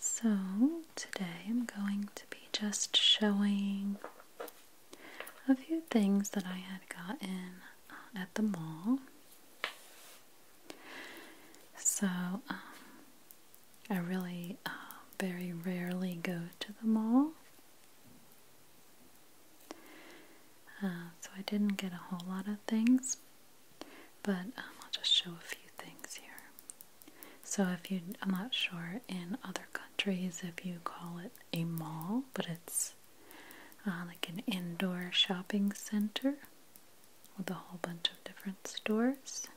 So, today I'm going to be just showing a few things that I had gotten um, at the mall. So, um, I really um, very rarely go to the mall. Uh, so, I didn't get a whole lot of things, but um, I'll just show a few things here. So if you, I'm not sure in other countries if you call it a mall, but it's uh, like an indoor shopping center with a whole bunch of different stores.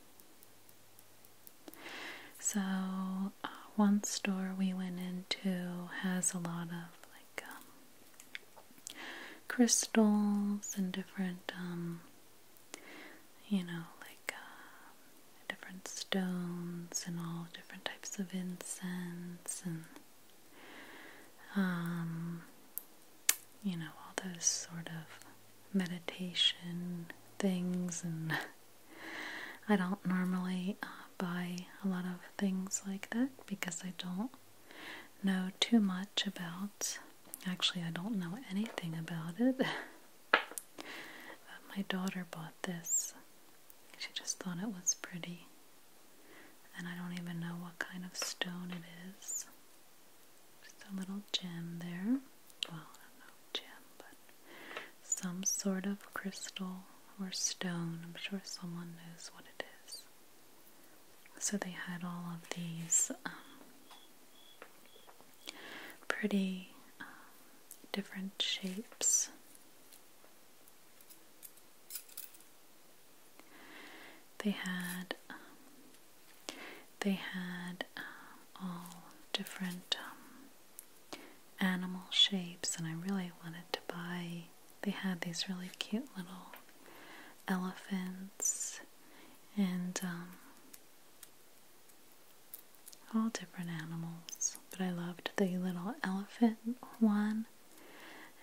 So uh, one store we went into has a lot of like um, crystals and different um, you know, like uh, different stones and all different types of incense and um, you know, all those sort of meditation things. And I don't normally uh, buy a lot of things like that because I don't know too much about Actually, I don't know anything about it. my daughter bought this. She just thought it was pretty. And I don't even know what kind of stone it is. Just a little gem there. Well, I don't know gem, but some sort of crystal or stone. I'm sure someone knows what it is. So they had all of these um, pretty uh, different shapes. They had um, they had uh, all different um, animal shapes, and I really wanted to buy. They had these really cute little elephants and um, all different animals. But I loved the little elephant one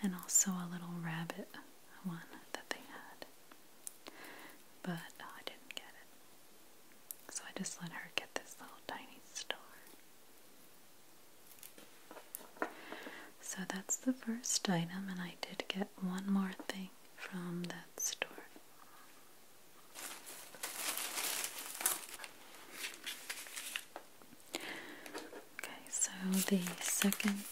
and also a little rabbit one that they had. But I didn't get it. So I just let her get this little tiny star. So that's the first item, and I did get one more thing from that store. Okay, so the second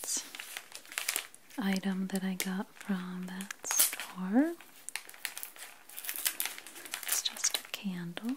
item that I got from that store is just a candle.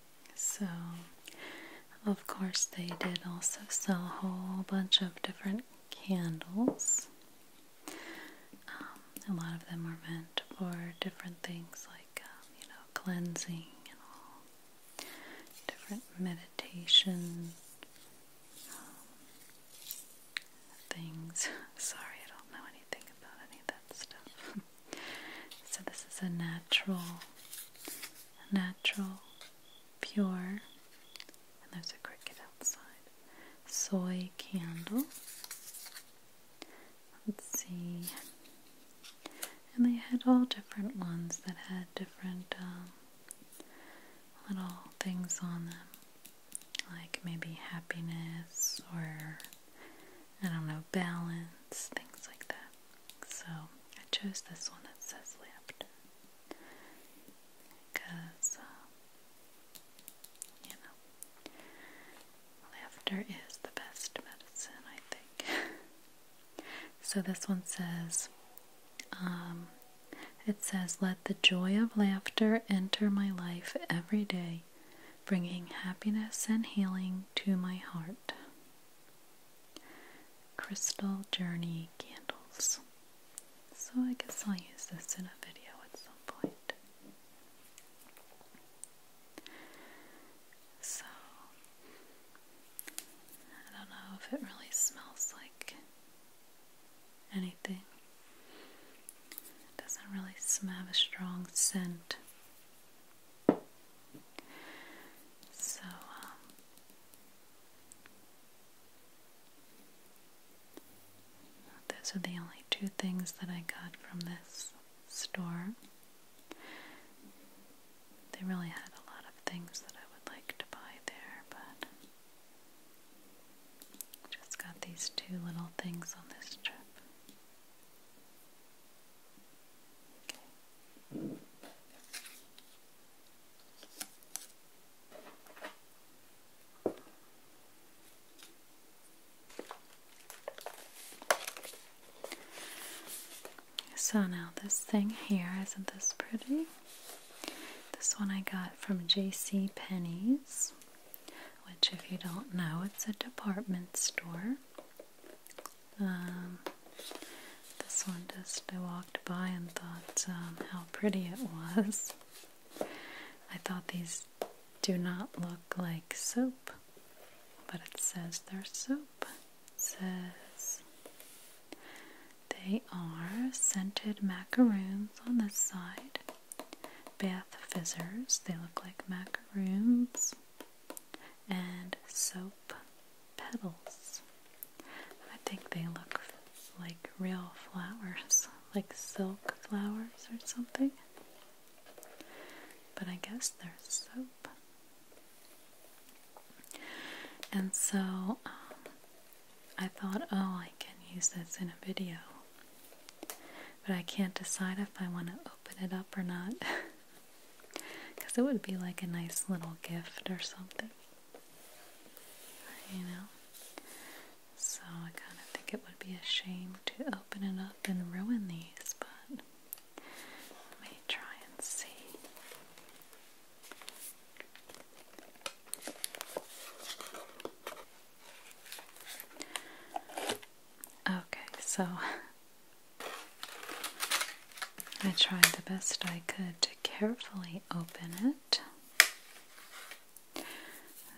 So, of course, they did also sell a whole bunch of different candles. Um, a lot of them are meant for different things like, um, you know, cleansing and all, different meditation um, things. Sorry, I don't know anything about any of that stuff. so, this is a natural natural, pure, and there's a cricket outside. Soy candle. Let's see. And they had all different ones that had different um, little things on them, like maybe happiness or I don't know, balance, things like that. So I chose this one that says left because, uh, you know, laughter is the best medicine, I think. so this one says, um, it says, let the joy of laughter enter my life every day, bringing happiness and healing to my heart. Crystal Journey candles. So I guess I'll use this in a video at some point. So I don't know if it really smells like anything. doesn't really have a strong scent. So, um, those are the only two things that I got from this store. They really had a lot of things that I would like to buy there, but just got these two little things on this trip. So now this thing here, isn't this pretty? This one I got from J.C. Penney's, which if you don't know, it's a department store. Um, this one just I walked by and thought um, how pretty it was. I thought these do not look like soap, but it says they're soap. says they are scented macaroons on this side, bath fizzers. They look like macaroons and soap petals. I think they look like real flowers, like silk flowers or something. But I guess they're soap. And so um, I thought, oh, I can use this in a video. But I can't decide if I want to open it up or not. Because it would be like a nice little gift or something. You know? So I kind of think it would be a shame to open it up and ruin these, but let me try and see. Okay, so I tried the best I could to carefully open it.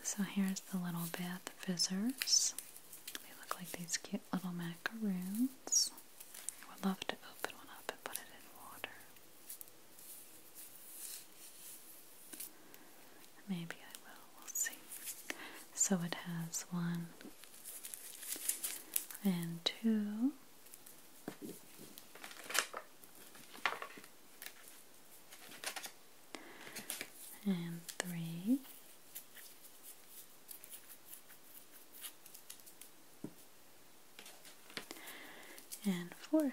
So here's the little bath fizzers. They look like these cute little macaroons. I would love to open one up and put it in water. Maybe I will, we'll see. So it has one and two and three. And four.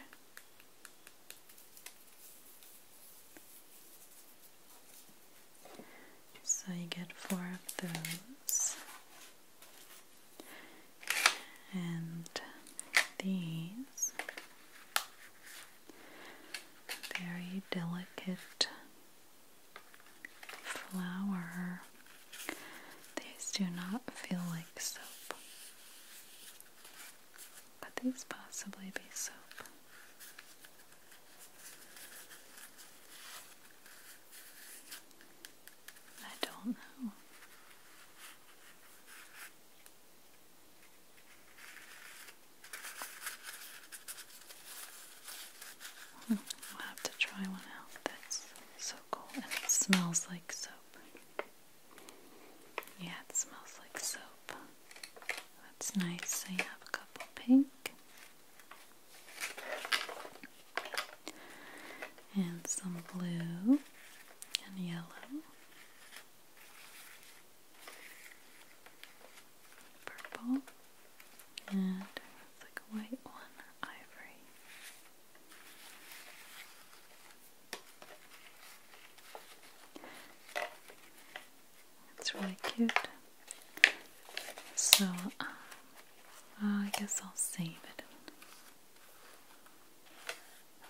So you get four of those and these very delicate flower. These do not feel like soap. Could these possibly be soap? I don't know. We'll have to try one out. That's so cool. And it smells like soap. Yeah, it smells like soap. That's nice. I have a couple pink and some blue and yellow. Purple and it's like a white one, ivory. It's really cute. So, um, I guess I'll save it.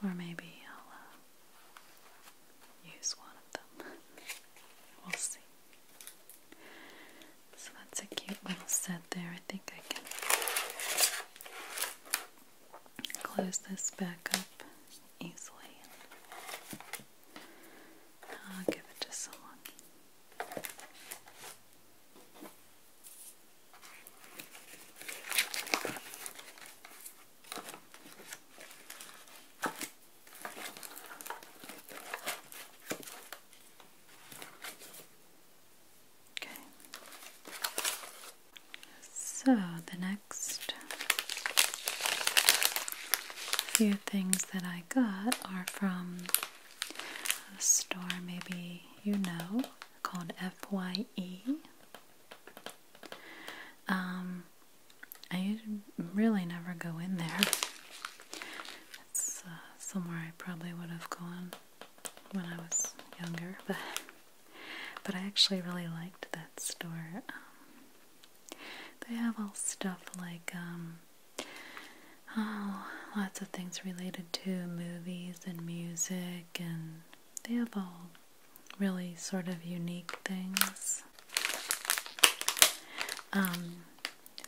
Or maybe I'll uh, use one of them. we'll see. So that's a cute little set there. I think I can close this back up easily. I'll give it to someone. Okay. So the next few things that I got are from the store maybe you know called FYE. Um, I really never go in there. It's uh, somewhere I probably would have gone when I was younger, but but I actually really liked that store. Um, they have all stuff like um, Oh, lots of things related to movies and music, and they have all really sort of unique things. Um,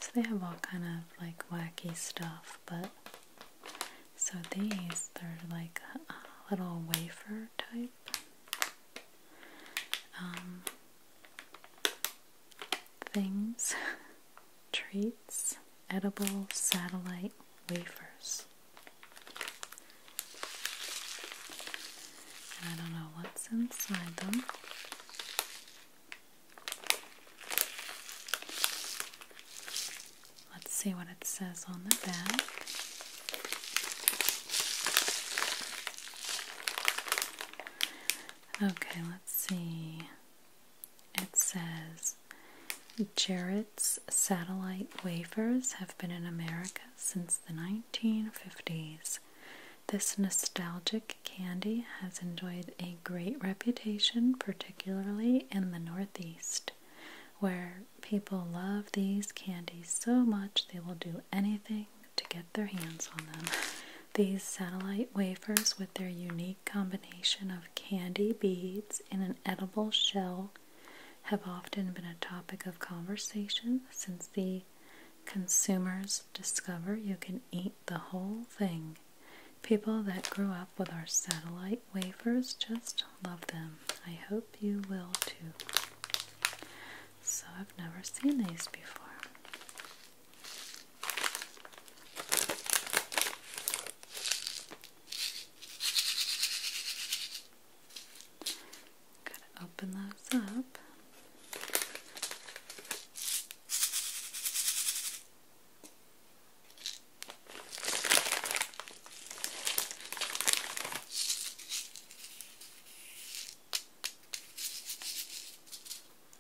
so they have all kind of like wacky stuff, but so these they're like little wafer type um, things. Treats Edible Satellite Wafers. I don't know what's inside them. Let's see what it says on the back. Okay, let's see. It says Jarrett's satellite wafers have been in America since the 1950s. This nostalgic candy has enjoyed a great reputation, particularly in the Northeast, where people love these candies so much they will do anything to get their hands on them. These satellite wafers, with their unique combination of candy beads in an edible shell have often been a topic of conversation since the consumers discover you can eat the whole thing. People that grew up with our satellite wafers just love them. I hope you will too. So, I've never seen these before. Gotta open those up.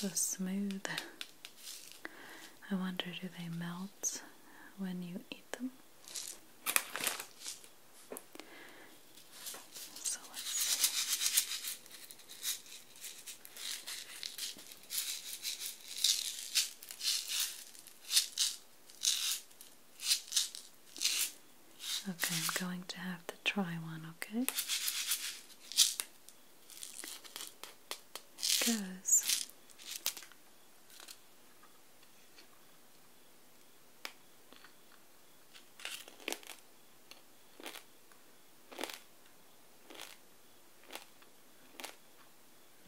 They're so smooth. I wonder do they melt when you eat them? Okay, I'm going to have to try one, okay? It goes.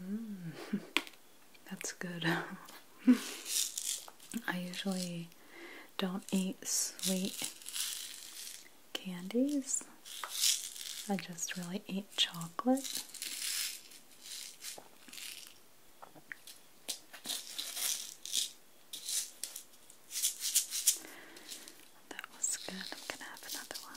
Mm. that's good. I usually don't eat sweet candies. I just really eat chocolate. That was good. I'm gonna have another one.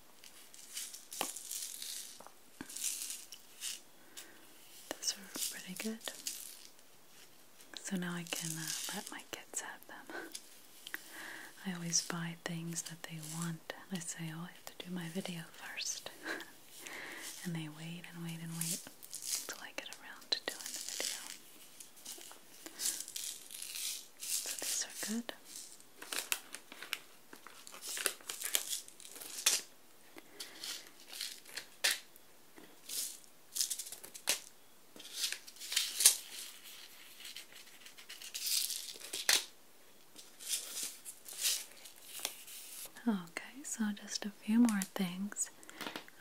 Those are pretty good. So now I can uh, let my kids have them. I always buy things that they want. I say, oh, I have to do my video first. and they wait and wait and wait until I get around to doing the video. So these are good. Okay, so just a few more things.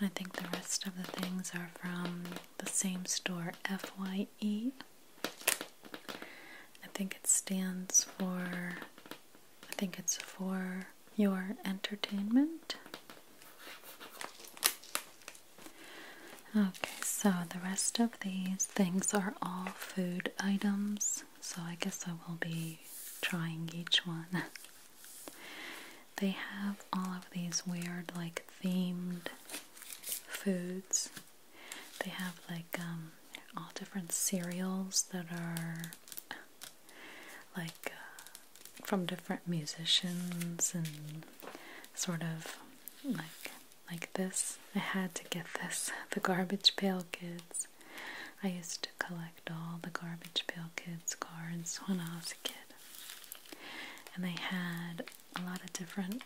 I think the rest of the things are from the same store, FYE. I think it stands for I think it's for your entertainment. Okay, so the rest of these things are all food items, so I guess I will be trying each one. they have all of these weird, like, themed foods they have like um, all different cereals that are like uh, from different musicians and sort of like like this. I had to get this. The Garbage Pail Kids. I used to collect all the Garbage Pail Kids cards when I was a kid. And they had a lot of different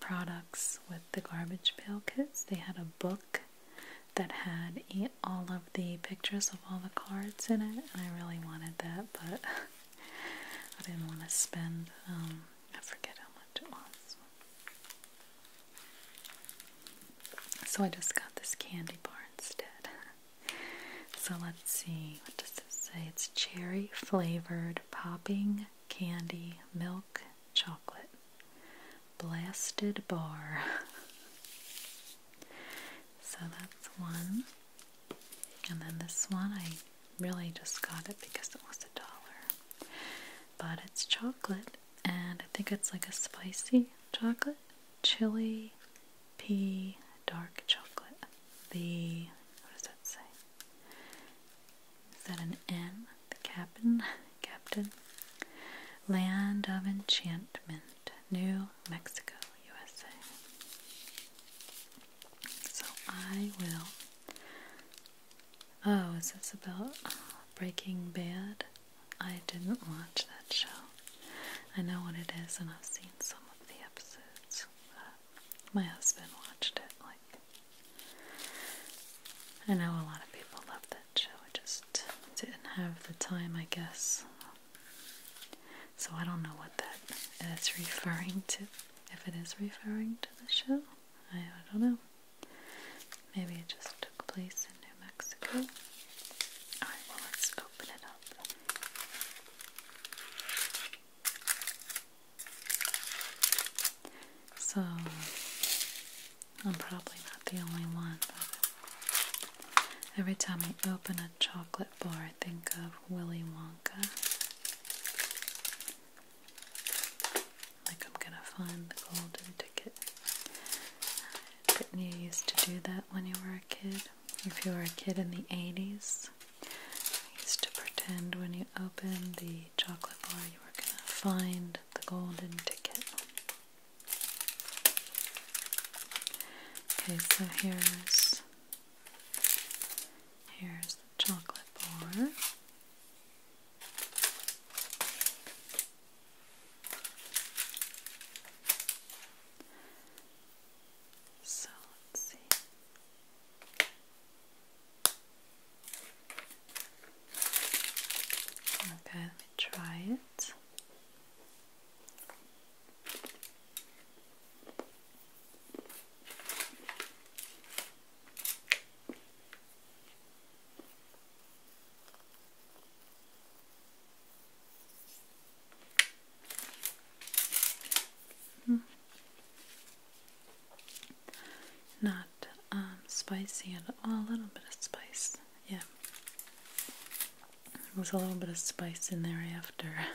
products with the Garbage Pail Kids. They had a book that had all of the pictures of all the cards in it, and I really wanted that, but I didn't want to spend, um, I forget how much it was. So I just got this candy bar instead. So let's see, what does this say? It's cherry flavored popping candy milk chocolate. Blasted Bar. so that's one. And then this one, I really just got it because it was a dollar. But it's chocolate, and I think it's like a spicy chocolate, chili, pea, dark chocolate. The, what does that say? Is that an N? the captain, captain, land of enchantment, New Mexico, USA. So I will. Oh, is this about Breaking Bad? I didn't watch that show. I know what it is, and I've seen some of the episodes. Uh, my husband watched it. Like, I know a lot of people love so I just didn't have the time, I guess. So I don't know what that is referring to. If it is referring to the show, I, don't know. Maybe it just took place in New Mexico. Alright, let's open it up. So, I'm probably not the only one, every time I open a chocolate bar, I think of Willy Wonka. Like I'm gonna find the golden ticket. Didn't you used to do that when you were a kid? If you were a kid in the 80s, I used to pretend when you opened the chocolate bar you were gonna find the golden ticket. Okay, so here's here's the chocolate bar. So let's see. Okay, let me try it. Hmm. Not um, spicy and a little bit of spice. Yeah. there's a little bit of spice in there after.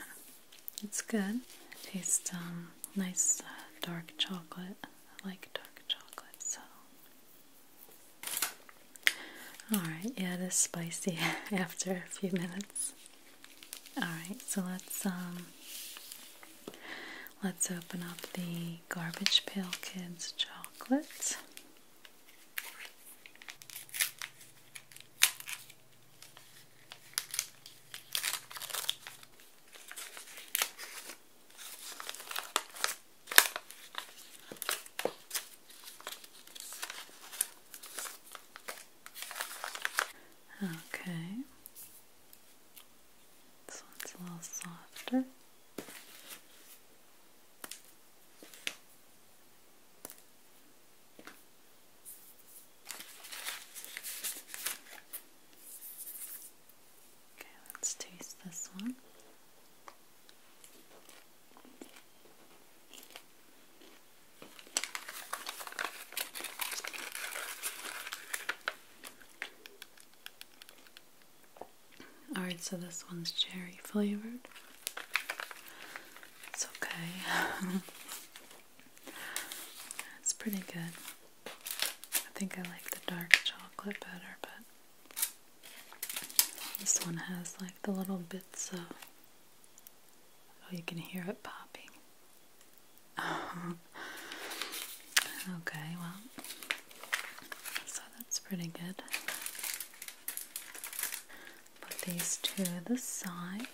it's good. It tastes um, nice uh, dark chocolate. I like dark chocolate, so. Alright, yeah, it is spicy after a few minutes. Alright, so let's um let's open up the garbage pail kids jar chocolate. Okay, this one's a little softer. Okay, let's taste this one. Alright, so this one's cherry flavored. It's okay. it's pretty good. I think I like the dark chocolate better, but this one has like the little bits of. Oh, you can hear it popping. okay, well, so that's pretty good. Put these to the side.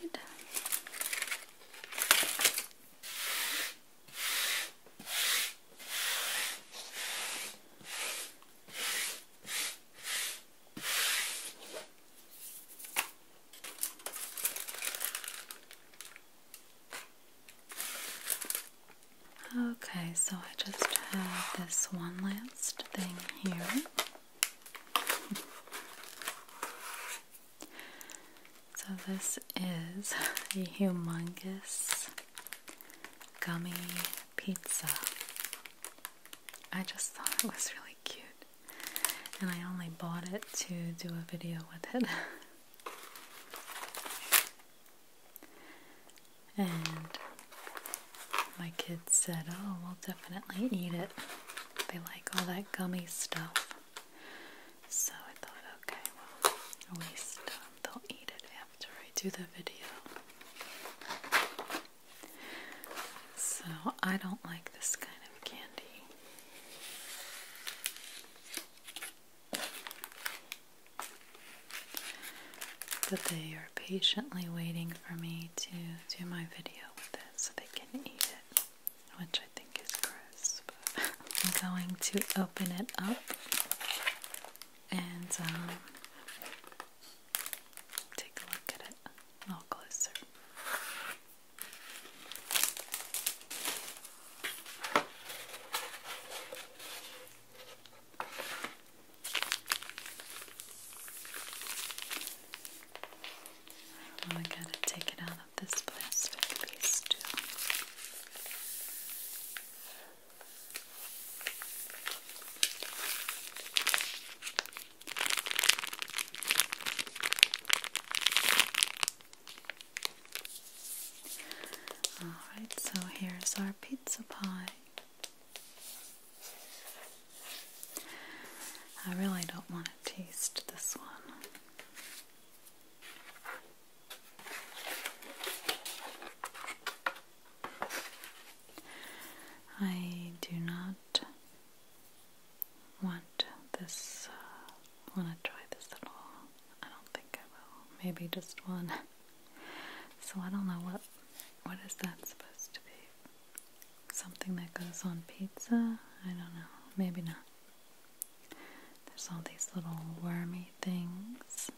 Okay, so I just have this one last thing here. So, this is a humongous gummy pizza. I just thought it was really cute, and I only bought it to do a video with it. And my kids said, Oh, we'll definitely eat it. They like all that gummy stuff. So I thought, okay, well, at least um, they'll eat it after I do the video. So I don't like this kind of candy. But they are patiently waiting for me to do my video with it so they can eat it, which I think is crisp. I'm going to open it up and um, take a look at it a closer. Well, I gotta take it out of this plastic piece too. All right, so here's our pizza pie. I really don't want to taste this one. I do not want this, uh, want to try this at all. I don't think I will. Maybe just one. So I don't know what what is that supposed to be? Something that goes on pizza? I don't know. Maybe not. There's all these little wormy things.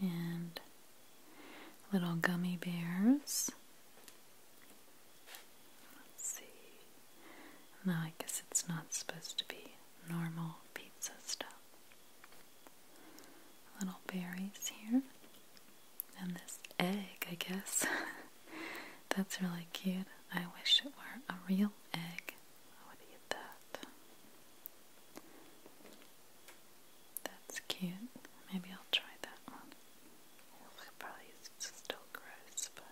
And little gummy bears. Let's see. Now I guess it's not supposed to be normal pizza stuff. Little berries here. And this egg, I guess. That's really cute. I wish it were a real egg. I would eat that. That's cute. Maybe I'll try that one. probably still gross, but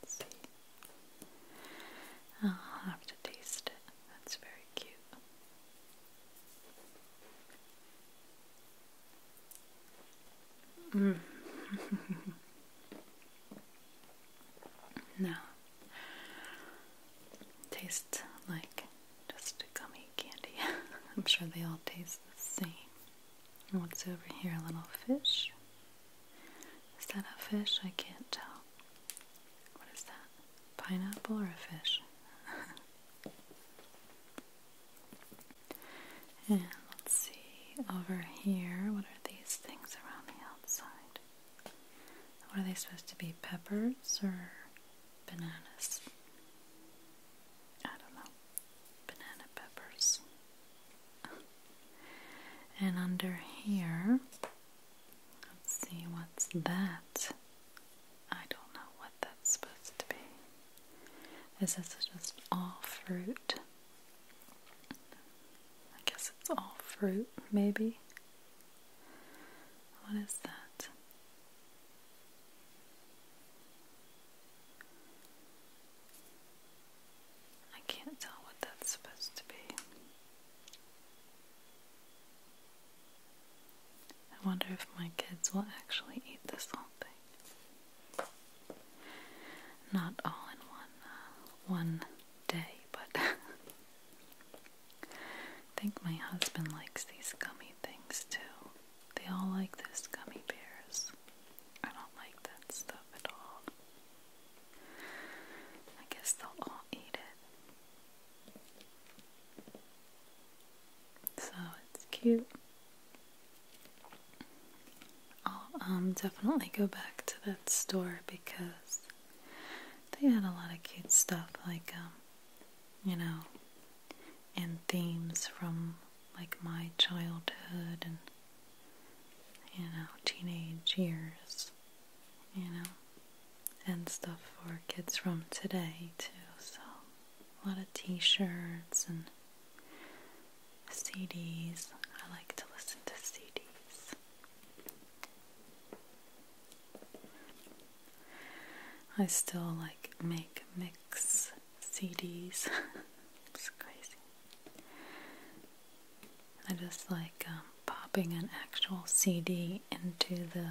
let's see. I'll have to taste it. That's very cute. Mm. no. Tastes like just gummy candy. I'm sure they all taste the same. What's over here? little fish. Is that a fish? I can't tell. What is that? Pineapple or a fish? and let's see over here. What are these things around the outside? are they supposed to be? Peppers or bananas? I don't know. Banana peppers. And under here, let's see what's that. I don't know what that's supposed to be. This is just all fruit. I guess it's all fruit, maybe. What is that? I can't tell what that's supposed to be. I wonder if my kids will actually eat this whole thing. Not all in one uh, one day, but I think my husband likes these gummy things too. They all like those gummy bears. I don't like that stuff at all. I guess they'll all eat it. So it's cute. I'll um, definitely go back to that store because they had a lot of cute stuff, like, um, you know, and themes from like my childhood and, you know, teenage years you know, and stuff for kids from today too. So a lot of T-shirts and CDs. I like to listen to CDs. I still like make mix CDs. it's crazy. I just like um, popping an actual CD into the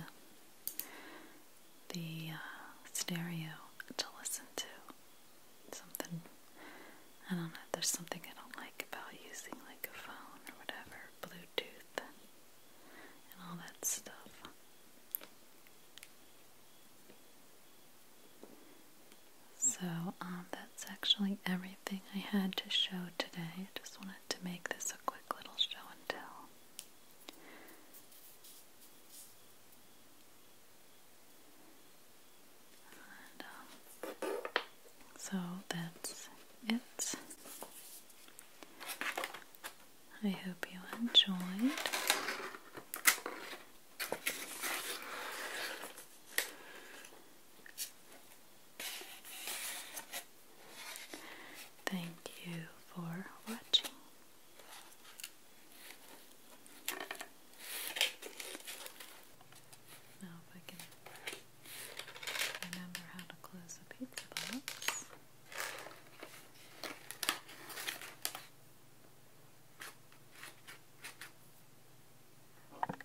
the uh, stereo to listen to something. I don't know. There's something I don't like about using like a phone or whatever, Bluetooth, and all that stuff. So, um, that's actually everything I had to show today. I just wanted to make this a quick little show and tell. Um, so that's it. I hope you enjoyed. Thank you for watching. Now, if I can remember how to close the pizza box.